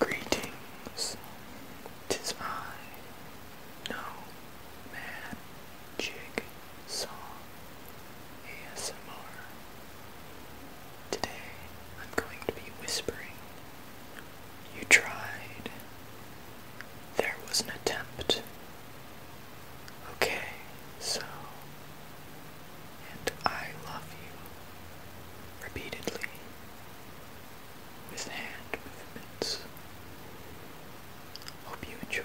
Greetings, tis I, no man. Jig Song ASMR. Today I'm going to be whispering. You tried. There was an attempt. Okay, so. And I love you. Repeatedly. With hand movements. Hope you enjoy.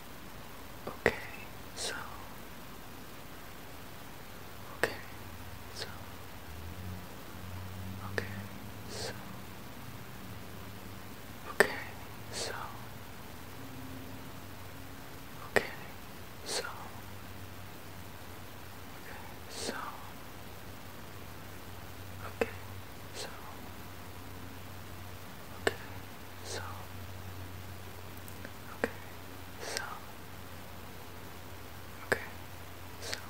Okay, so Okay, so Okay, so Okay, so Okay, so Okay, so Okay, so Okay, some, okay, some, okay, some,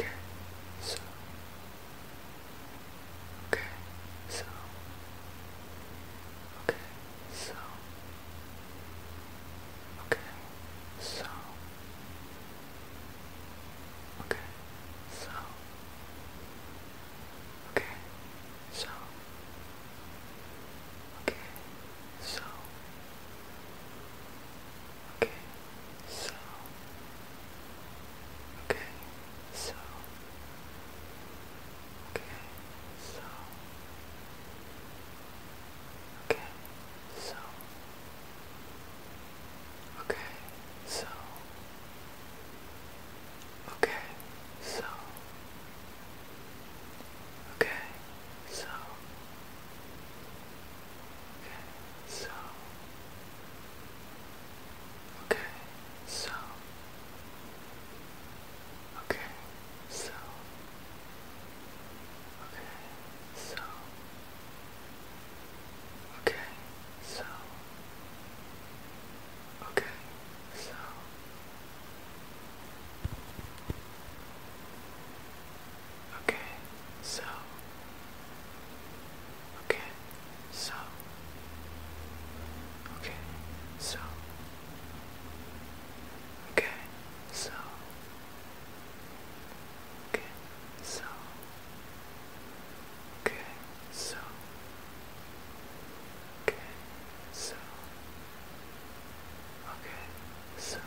okay, some, okay, some, okay, some, okay, some, Okay, so, Okay, so. Okay, so. Okay, so. Okay, so. Okay, so. Okay, so. so. Okay, so. Okay, so. Okay, so. Okay, so. Okay, so. Okay, so. Okay, so. Okay, so. Okay, so. Okay, so. Okay, so. Okay, so. so. Okay, so. Okay, so. Okay, so.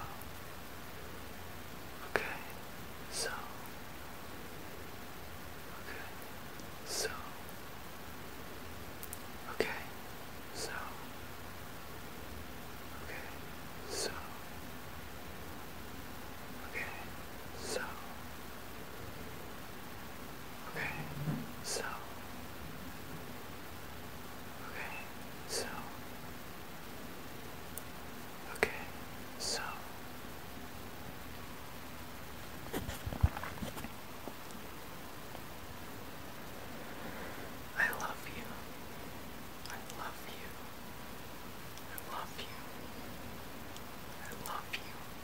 Okay, so. Okay, so. Okay, so. Okay, so. Okay, so. so. Okay, so. Okay, so. Okay, so. I love you. I love you. I love you. I love you.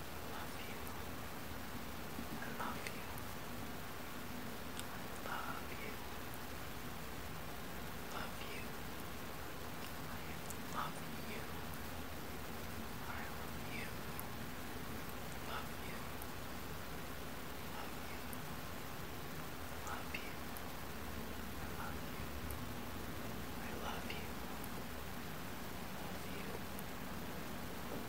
love you. I love you. I love you. Love you. I love you. I love you. Love you. Love you. Love you. I love you. I love you. Love you. Love you.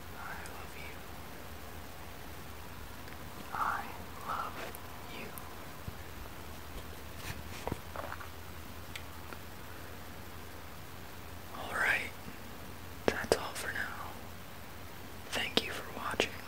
I love you. I love you. Alright, that's all for now. Thank you for watching.